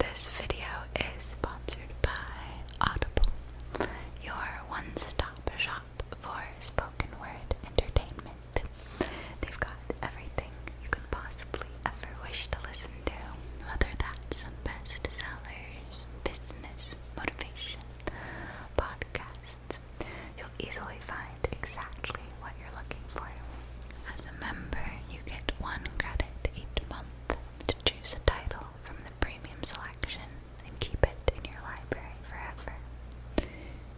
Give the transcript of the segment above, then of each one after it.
This video is sponsored by Audible, your one stop shop for spoken word entertainment. They've got everything you can possibly ever wish to listen to, whether that's some bestsellers, business, motivation, podcasts. You'll easily find exactly what you're looking for. As a member, you get one credit each month to choose a title from the premium selection and keep it in your library forever.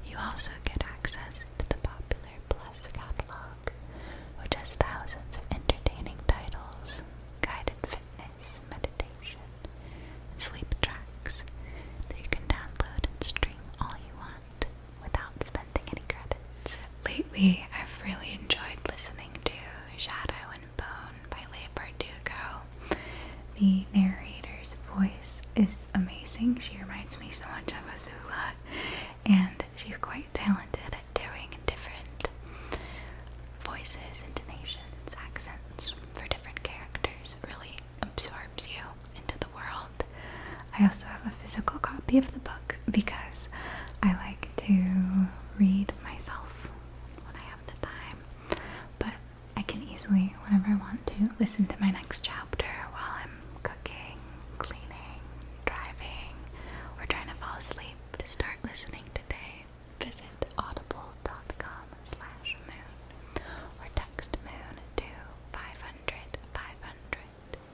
You also get access to the popular Plus catalog, which has thousands of entertaining titles, guided fitness, meditation, and sleep tracks that you can download and stream all you want without spending Lately, I've really enjoyed listening to Shadow and Bone by Leigh Bardugo. The narrator's voice is amazing. She reminds me so much of Azula, and she's quite talented at doing different voices, intonations, accents for different characters. Really absorbs you into the world. I also have a physical copy of the book because I like to read myself when I have the time, but I can easily, whenever I want to, listen to my next chapter while I'm cooking, cleaning, driving, or trying to fall asleep. To start listening today, visit audible.com slash moon or text moon to 500 500.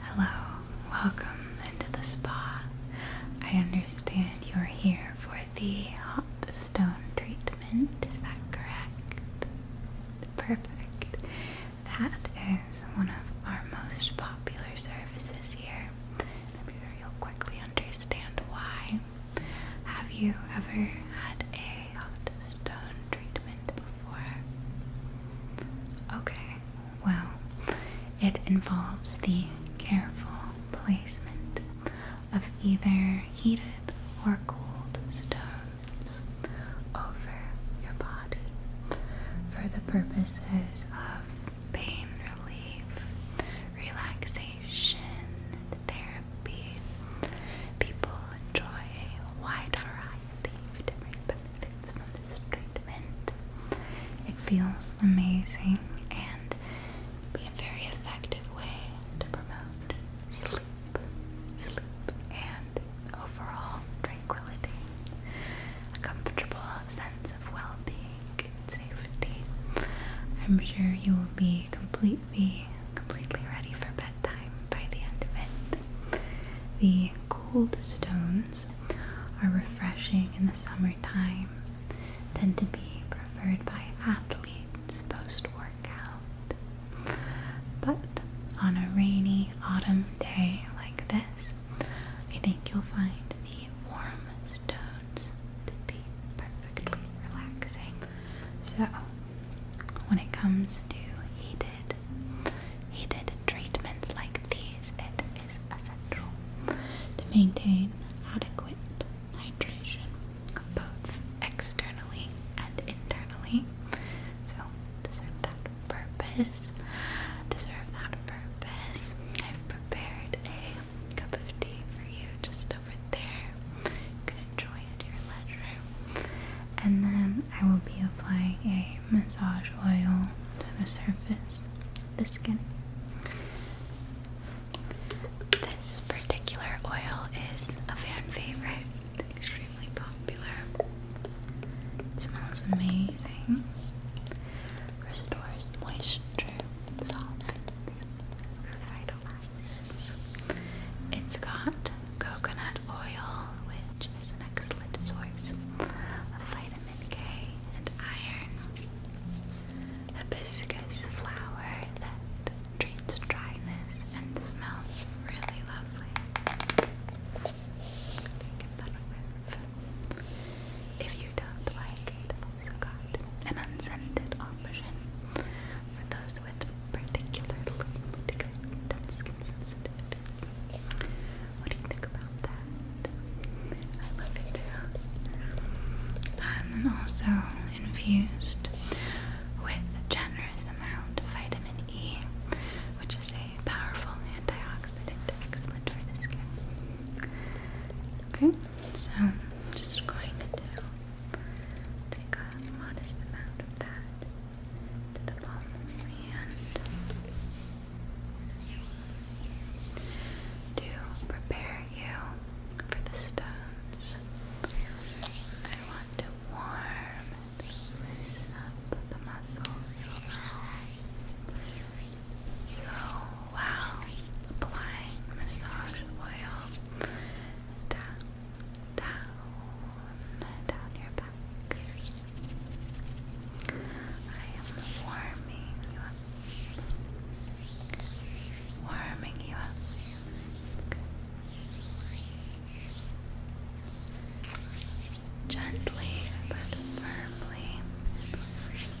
Hello, welcome into the spa. I understand you're here for the hot stone treatment, is that correct? Perfect. That is one of our most popular services here. I'm sure you'll quickly understand why. Have you ever had a hot stone treatment before? Okay, well, it involves the careful placement of either heated or cooled stones over your body for the purposes of pain relief, relaxation therapy. People enjoy a wide variety of different benefits from this treatment. It feels amazing and be a very effective way to promote sleep, sleep, and overall tranquility, a comfortable sense of well-being, I'm sure you will be completely, completely ready for bedtime by the end of it. The cold stones are refreshing in the summertime, tend to be preferred by athletes post workout. But on a rainy autumn day like this, I think you'll find warm stones to be perfectly relaxing. So, when it comes to heated, heated treatments like these, it is essential to maintain adequate hydration, both externally and internally. So, to serve that purpose, to serve that purpose, I've prepared a cup of tea for you just over there. You can enjoy at your leisure. And then I will be applying a massage oil to the surface of the skin. This particular oil is a fan favorite, extremely popular. It smells amazing, restores moisture, softens it's got coconut oil, which is an excellent source of vitamin K and iron. Hibiscus flower that treats dryness and smells really lovely. If you don't like also got an unscented option for those with particularly, sensitive skin What do you think about that? I love it too. And then also infused with generous amount of vitamin E, which is a powerful antioxidant, excellent for the skin. Okay, so I'm just going to take a modest amount of that to the palm of to prepare you for the stones. I want to warm and loosen up the muscles. So while applying massage oil down, down, down your back. I am warming you up, warming you up. Gently but firmly working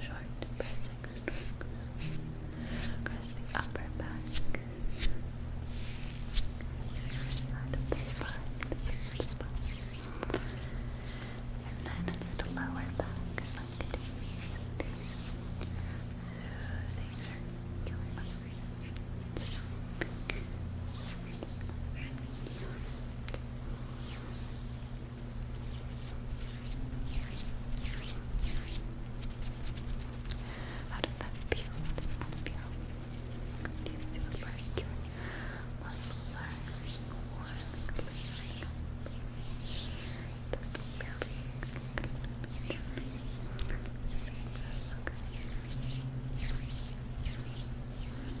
Short pressing across the upper back, side of the spine, and then a little lower back, how does that feel? How does that feel? Do you feel like your are warm and clearing up? Does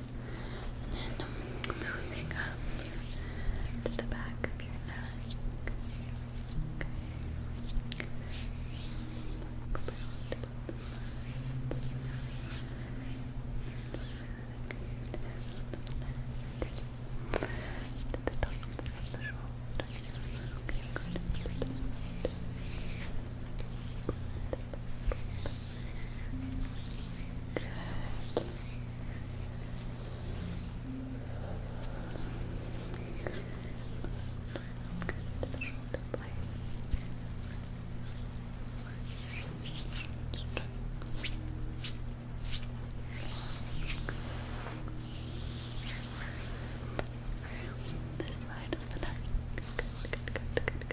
and then moving up to the back of your neck. To the top of the shoulder. Good. This side of the neck. Good, good, good, good, good.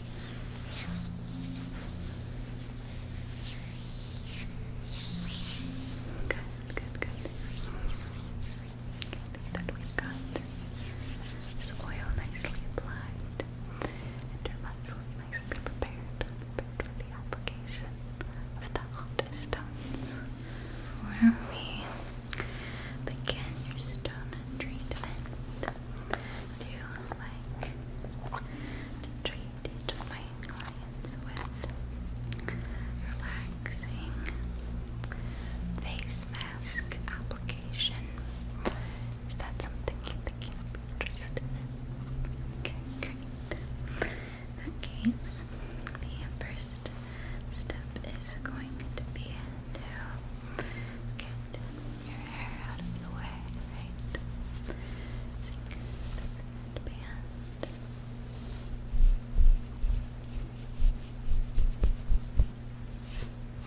Good, good, good. I we got this oil nicely applied and your muscles nicely prepared for the application of the hot stones. Where we begin your stone treatment, do like to my clients with relaxing face mask application. Is that something you you'd interested in? Okay, In that case, the first step is going to be to your hair out of the way, right? So you the band. Okay. Just swing back,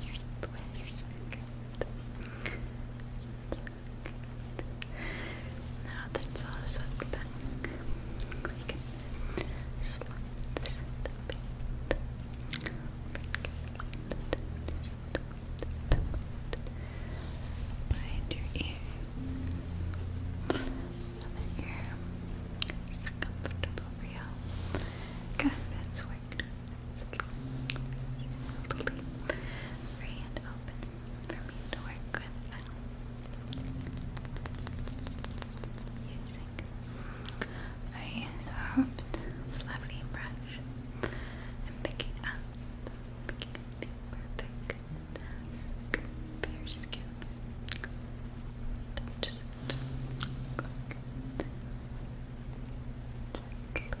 get Good. Now that it's all swept back, your ear. Another ear. Is comfortable for you? Good, that's worked. It's completely free and open for me using a fluffy brush and picking picking up the perfect task for your skin. Just go Gently,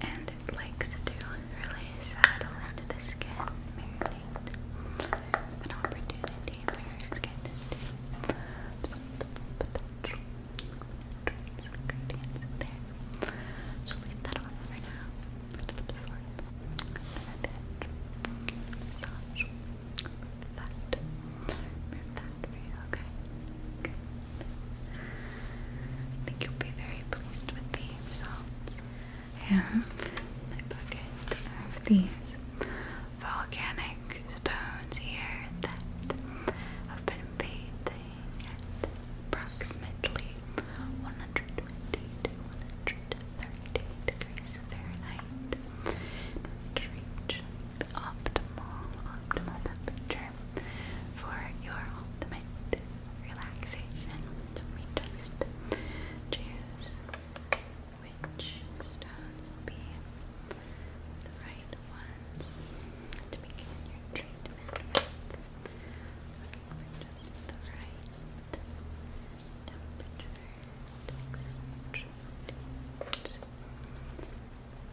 And it likes to do really into the skin, marinate. An opportunity for your skin to do some potential nutrients and ingredients in there. So leave that on for now. absorb. Massage. Remove that. for you, okay? I think you'll be very pleased with the results. I have my bucket of these volcanic stones here that have been bathing at approximately 120 degrees Fahrenheit. Reach the optimal, optimal temperature for your ultimate relaxation. we just choose which stones will be the right ones to begin your treatment with. just the right temperature. Temperature. Temperature.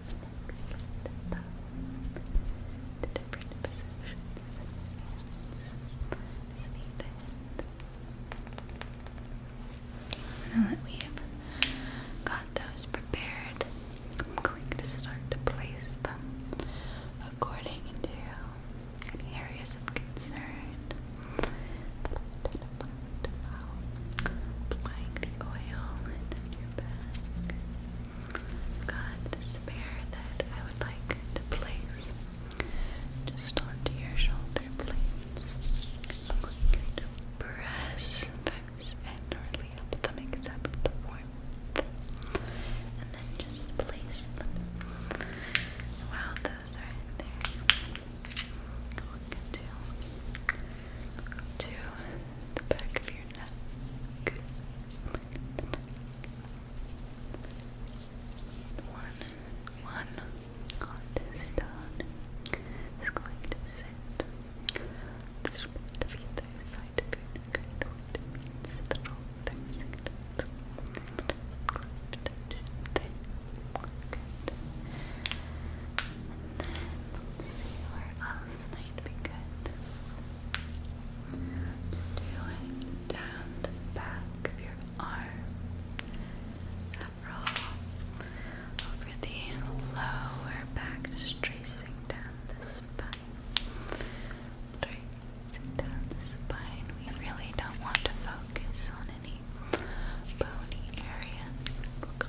the thumb Now that we have got those prepared, I'm going to start to place them according to areas of concern learned about applying the oil down your back. I've got this pair that I would like to place just onto your shoulder blades. I'm going to up them, except the warmth, and then just place them while those are there look into the back of your neck. One, one artist is going to sit this bit of either side of your neck. I know it means the Good. Let's see where else might be good. Let's do it down the back of your arm. Several over the lower back, just tracing down the spine. Tracing down the spine. We really don't want to focus on any bony areas. We'll go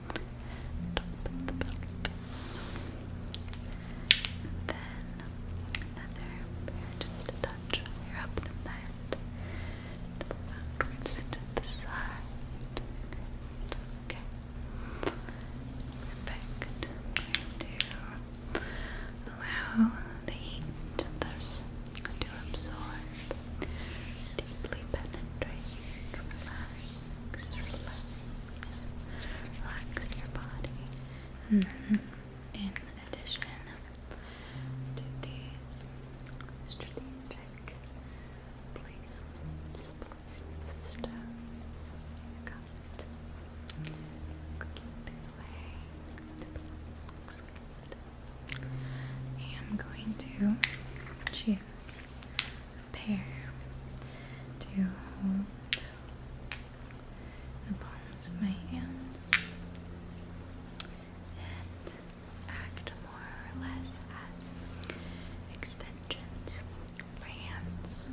top of the pelvis. then another just touch higher up than that. Backwards the side. Okay. Perfect. to allow the heat thus to absorb, deeply penetrate, relax relax, relax your body. in addition to these strategic placements, placements of stones, you've got cooking away. Looks good. I am going to choose pair to hold the palms of my hands and act more or less as extensions of my hands.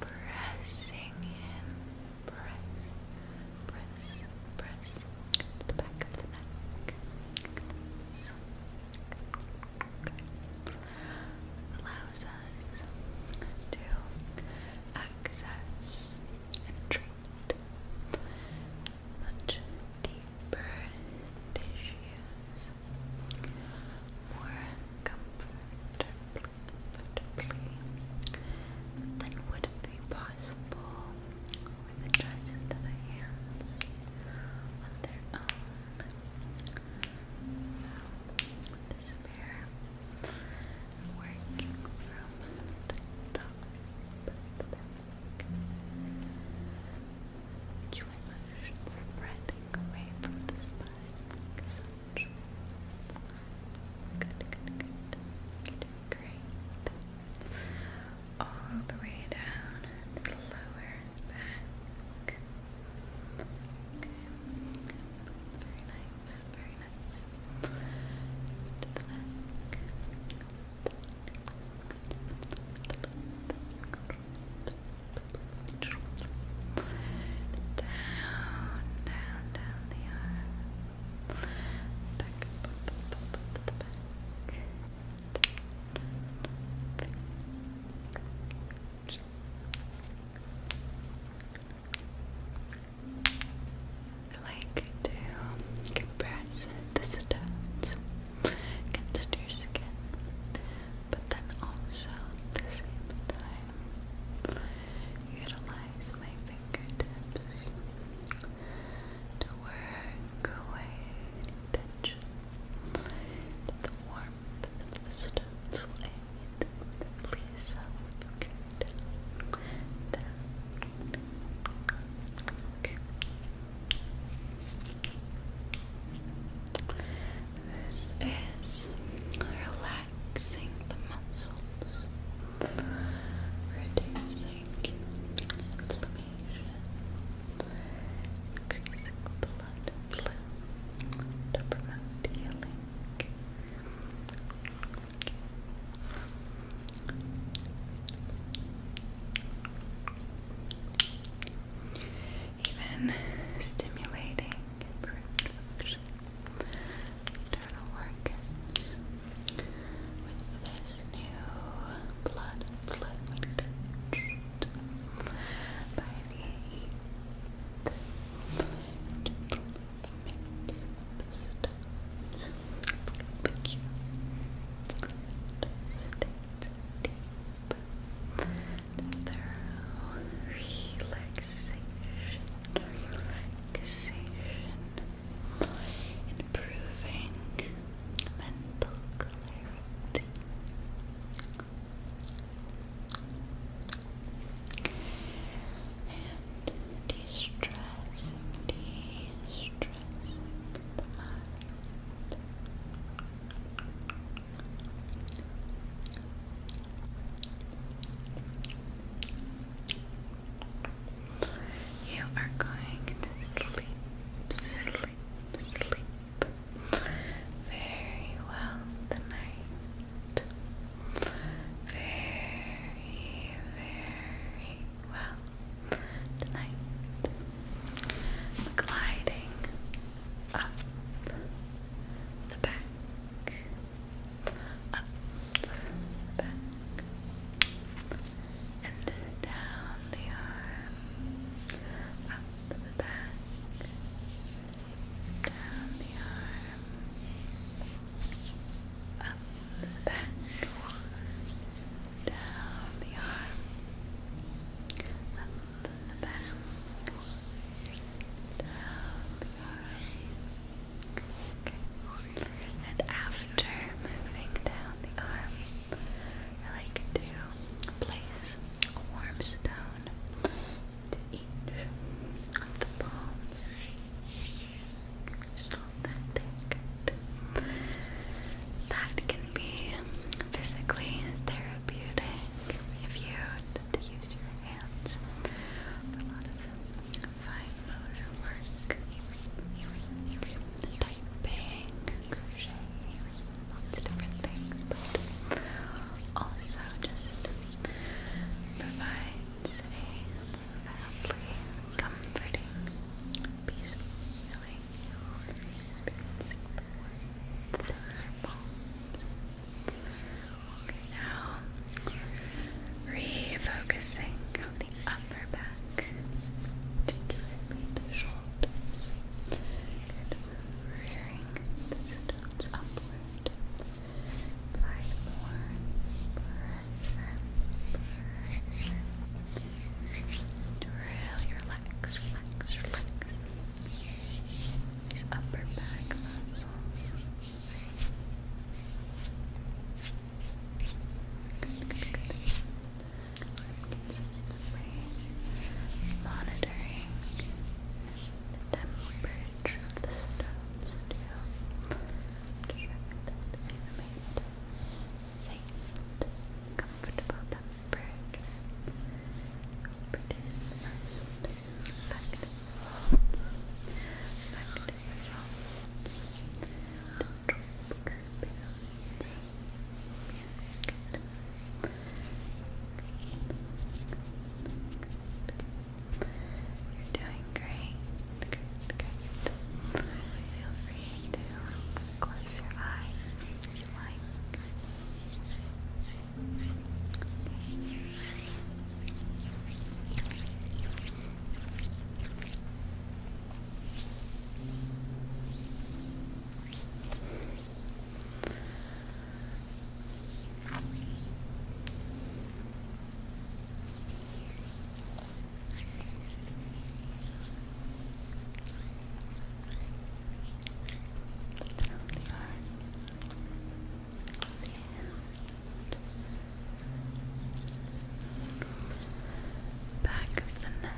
Pressing in, press, press, press, the back of the neck. Okay. Allows us to access and treat much deeper tissues more comfortably than would be possible with the trust of the hands on their own. So, this working from the top the back. spreading away from the spine Good, good, good. you great all the way down lower back. Very nice, very nice. Down, down, down the arm. Back up, up, up, back. I like to compress this dirt against your skin, but then also at the same time utilize my fingertips to work Go ahead touch the warmth the stones will aid. Please help uh, you This is relaxing the muscles, reducing increasing blood Even stimulating internal organs with this new blood fluid by the heat and the stones. But you deep thorough relaxation, relaxation, improving mental right. And the mind. You are going to sleep, sleep, sleep very well tonight. Very, very well tonight. I'm gliding up the back, up the back. And down the arm, to the back, down the arm, up the back, down the arm, up the back, down the arm. Okay. And after moving down the arm, I like Place warm stone to each of the palms. So that thick. That can be physically therapeutic if you use your hands a lot of fine motor work typing, crocheting, lots of different things, but also just provides a lovely, comforting, peaceful, feeling experience. Okay, now refocusing on the upper back, particularly the shoulders shoulders. Good. Rearing the stones upward. Apply more relax, relax, relax. These upper back muscles. good, good consistently monitoring temperature of the stones to ensure comfortable temperature produce the most effective results Good. You're doing great. Good, good. Feel free to close your eyes if you like the back of the neck.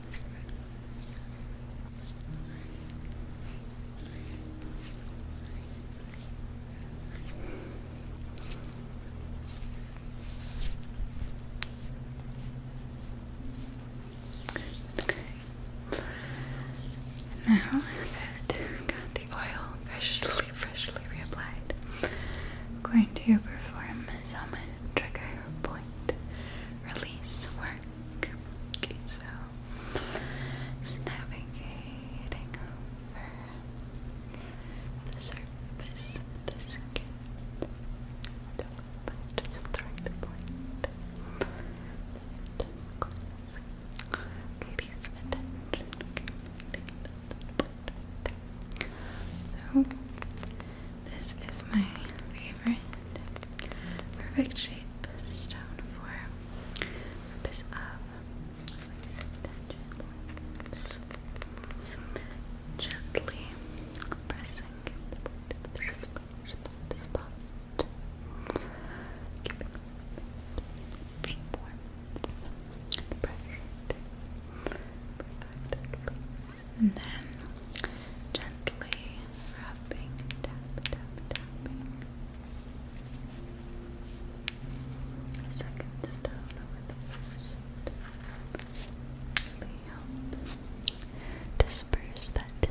Okay. And now that I've got the oil freshly, freshly reapplied, I'm going to perform some trigger point release work. Okay, so navigating over the surface the skin. Just the right point. Okay, some Okay, so this is my favorite perfect shape stone for purpose uh, of Gently pressing the spot, the spot, keeping warmth, pressure, perfect and then gently rubbing, tap, tap, tapping. Second stone over the first. Really help disperse that tension.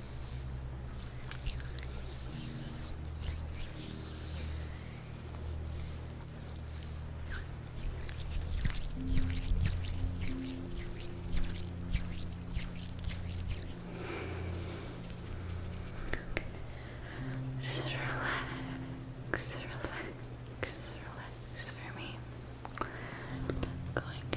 Just relax, relax, relax for me. going to remove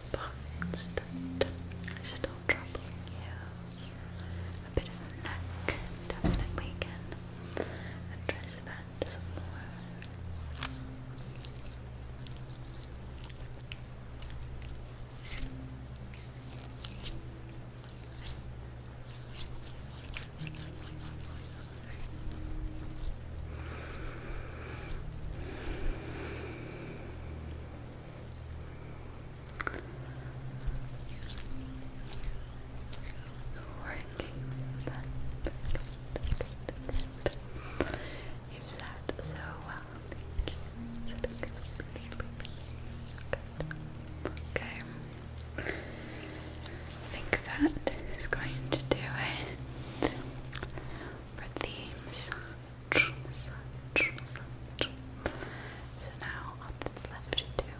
spots still troubling you. A bit of neck, definitely can address that some more. You've sat so well. Thank you. Okay. I think that is going to do it for themes. So now all that's left to do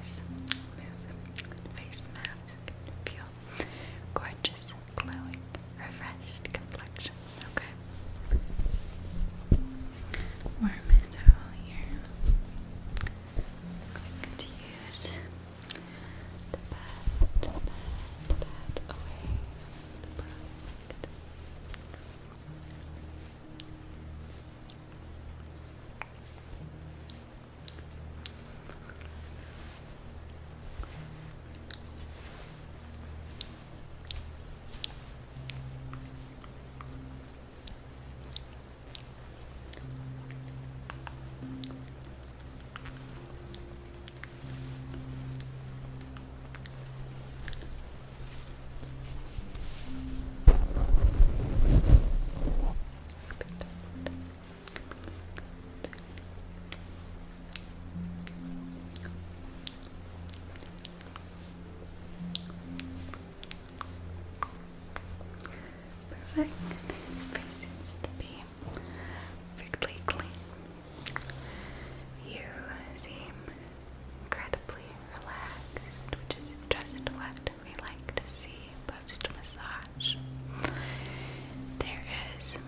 is move face mask feel gorgeous, glowing, refreshed complexion. Okay. Warm towel here. i to use to pat, to pat, pat away the product. Perfect. His face seems to be perfectly clean. You seem incredibly relaxed, which is just what we like to see post massage. There is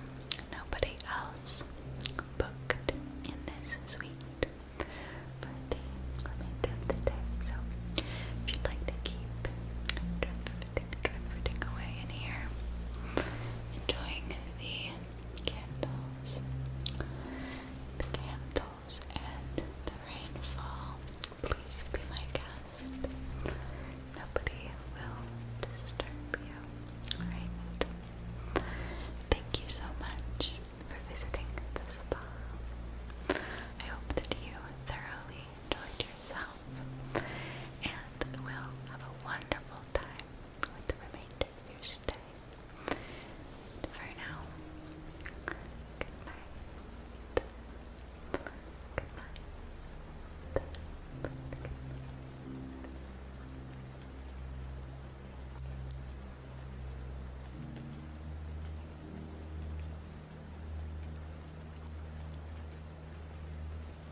nobody else booked in this suite for the remainder of the day, so if you'd like to keep take the everything away in here. Enjoying the candles, the candles, and the rainfall. Please be my guest. Nobody will disturb you. Alright. Thank you so much for visiting the spa. I hope that you thoroughly enjoyed yourself and will have a wonderful full time with the remainder of your stay. for now, good night. Good night. Good night.